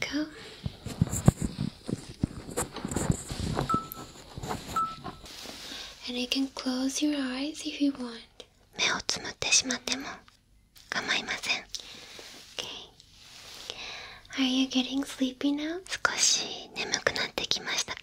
Go. And you can close your eyes if you want. 構いません OK a r you getting sleepy now? 少し眠くなってきましたか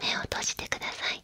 目を閉じてください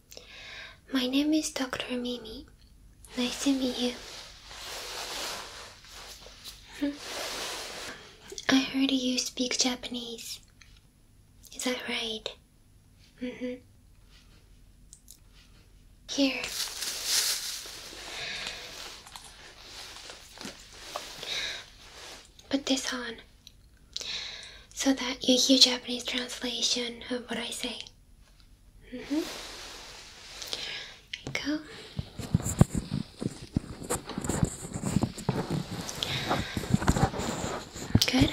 My name is Dr. Mimi. Nice to meet you. Hmm. I heard you speak Japanese. Is that right? Mm-hmm. Here. Put this on so that you hear Japanese translation of what I say. Mm-hmm. go. Good.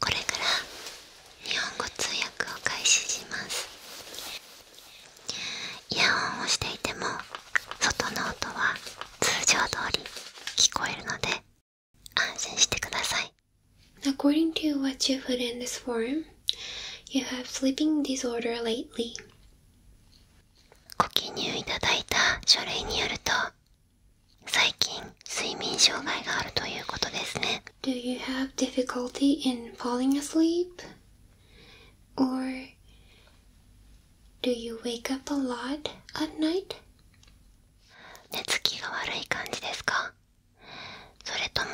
これから日本語通訳を開始しますイヤホンをしていても外の音は通常通り聞こえるので安心してくださいご記入いただいた書類によると最近睡眠障害があるということですね Do you have difficulty in falling asleep? Or do you wake up a lot at night? 寝つきが悪い感じですかそれとも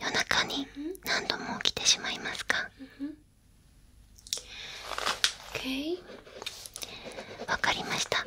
夜中に何度も起きてしまいますか Okay わかりました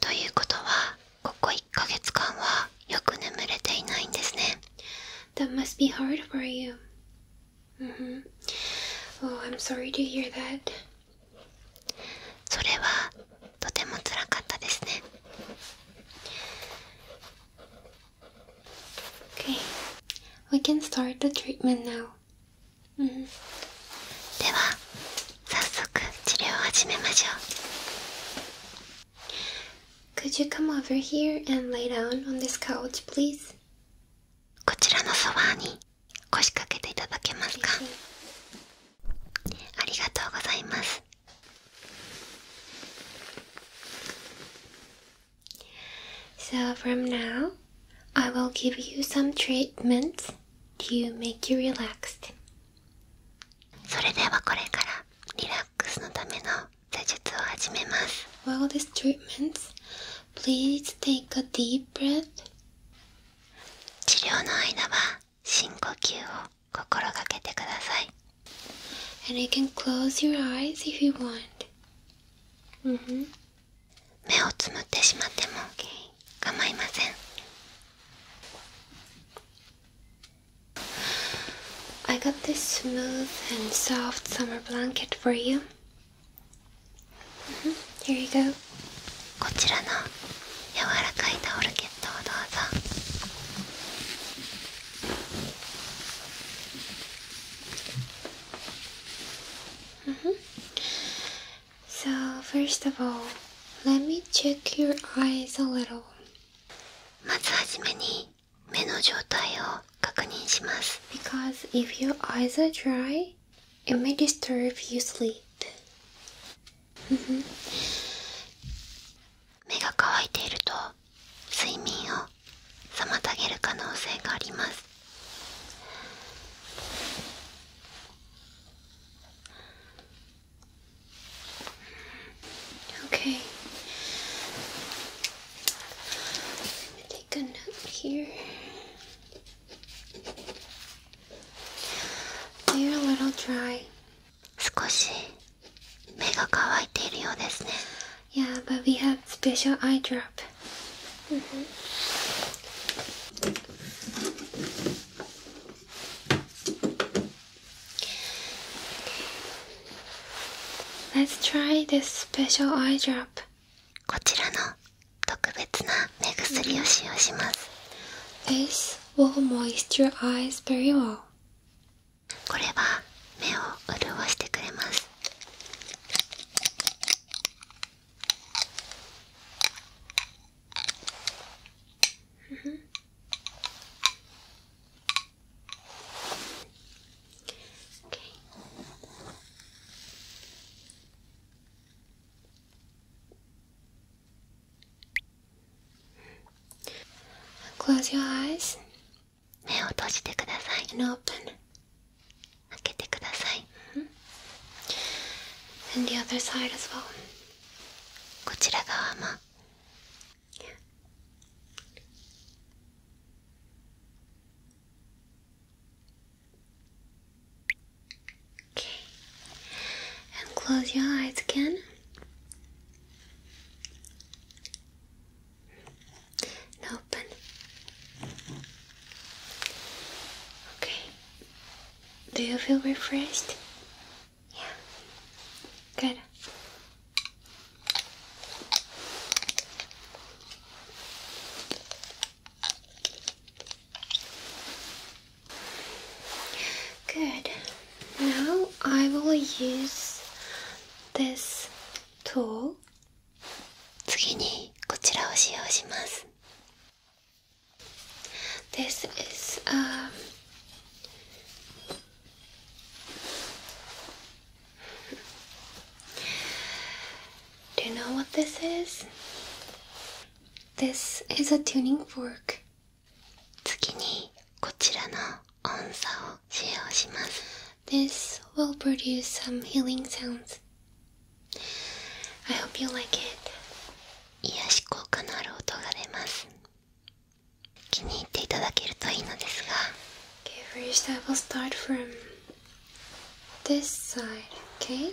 ということはここ1ヶ月間はよく眠れていないんですね That must be hard for you Mm-hmm. Oh, I'm sorry to hear that. それはとてもつらかったですね。Okay. We can start the treatment now. Mm-hmm. では早速治療を始めましょう Could you come over here and lay down on this couch, please? from now, I will give you some treatments to make you relaxed. それではこれからリラックスのための施術を始めます While this treatment, please take a deep breath 治療の間は深呼吸を心がけてください And you can close your eyes if you want、mm hmm. 目をつむってしまっても、okay. 構いません I got this smooth and soft summer blanket for you. Mm-hmm. Here you go. こちらの柔らかいタオルケットをどうぞ。Mm -hmm. So, first of all, let me check your eyes a little. まずはじめに目の状態を確認します。Because if your eyes are dry, it may disturb your sleep. 目が乾いていると睡眠を妨げる可能性があります。Okay. take a note here. They're a little dry. 少し目が乾いているようですね。Yeah, but we have special eye drop. Mm-hmm. Let's try this special eye drop. こちらの特別な目薬を使用します This will moisturize eyes very well これは目を潤してくれます Mm -hmm. Okay. Close your eyes. 目を閉じてください。And open. 開けてください。Mm and the other side as well Okay. And close your eyes again. And open. Okay. Do you feel refreshed? Yeah. Good. Good. Now I will use this tool. 次にこちらを使用します。this is um, Do you know what this is? This is a tuning fork. 次にこちらの音叉を使用します。This will produce some healing sounds. I hope you like it 癒し効果のある音が出ます気に入っていただけるといいのですが Okay, first I will start from this side, okay?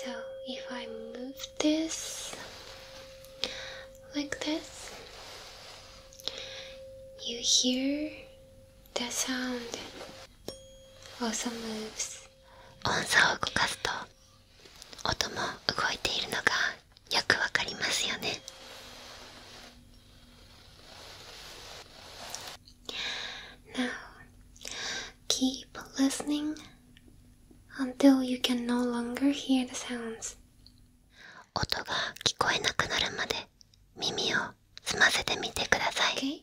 So if I move this like this, you hear the sound also moves. 音叉を動かすと音も動いているのがよくわかりますよね。Now, keep listening until you can no longer hear the sounds. 音が聞こえなくなるまで耳を澄ませてみてください。Okay.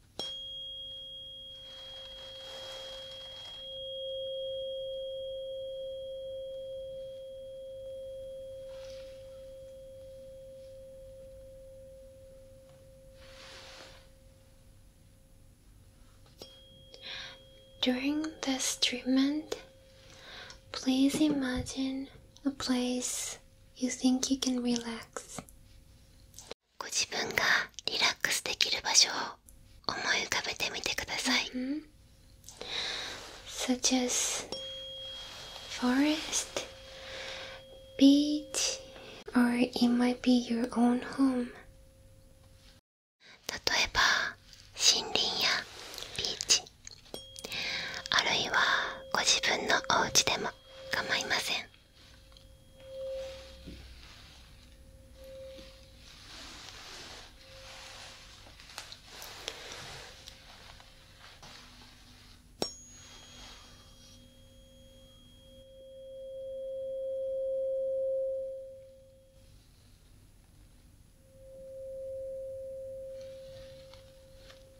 During this treatment, please imagine a place You think you can relax? ご自分がリラックスできる場所を思い浮かべてみてください。Mm hmm. Such as forest, beach, or it might be your own home. 例えば森林やビーチあるいはご自分のお家でもは構いません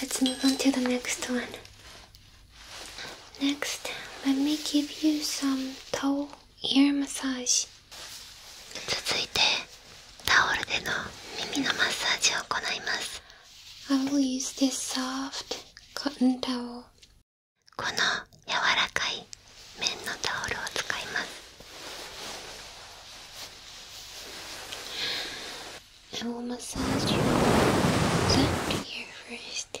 Let's move on to the next one. Next, let me give you some towel ear massage. 続いて、タオルでの耳のマッサージを行います。I will use this soft cotton towel. この柔らかい綿のタオルを使います I will massage you gently here first.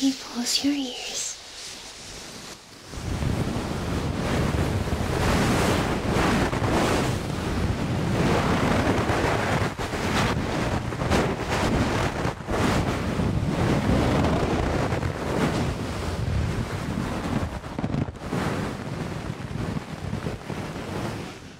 Can you close your ears?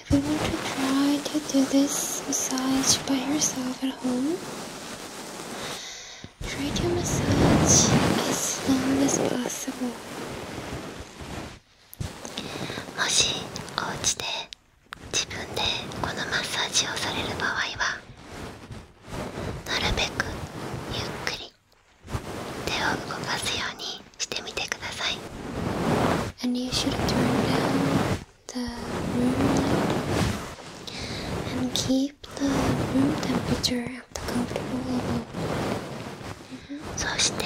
If you want to try to do this massage by yourself at home, try to massage as long as possible. もしお家で自分でこのマッサージをされる場合はなるべくゆっくり手を動かすようにしてみてください。And you should turn down the room light and keep the room temperature at the comfortable level. そして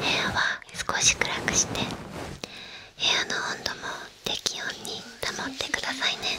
部屋は少し暗くして部屋の温度も適温に保ってくださいね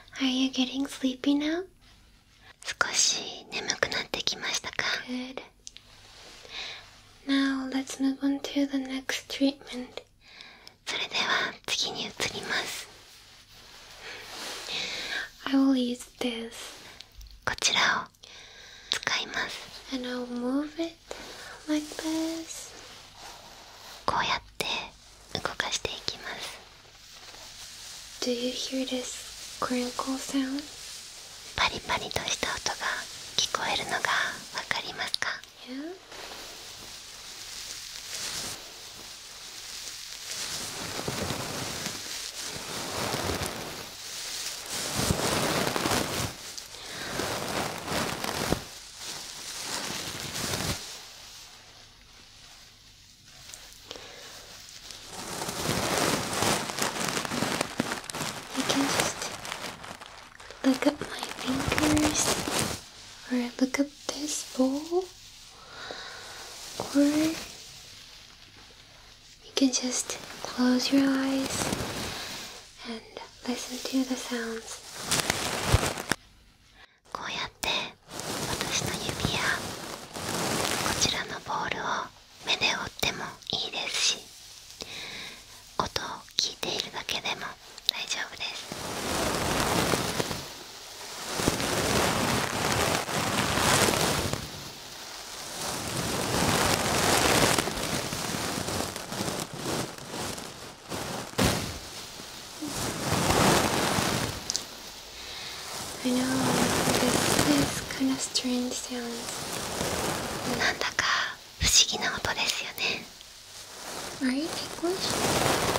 Are you getting sleepy now? 少し眠くなってきましたか Good. Now let's move on to the next treatment. それでは次に移ります I will use this. こちらを使います And I'll move it like this. こうやって動かしていきますパリパリとした音が聞こえるのがわかりますか、You can just look at my fingers or look at this bowl or you can just close your eyes and listen to the sounds こうやって私の指やこちらのボールを目で追ってもいいですし音を聞いているだけでも大丈夫です。I know this is kind of strange sounds なんだか不思議な音ですよね Are you ticklish? あ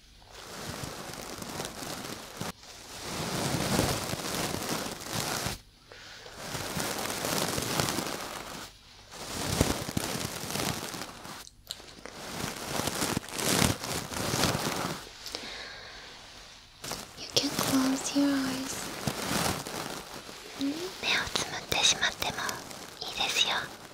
You can close your eyes 目をつむってしまってもいいですよ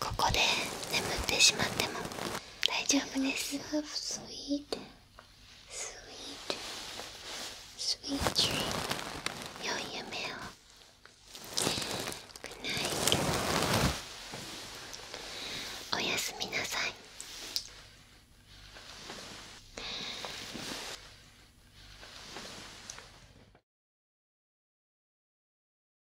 ここで眠ってしまっても大丈夫ですスイートスイートスイート良い夢をグナイおやすみなさい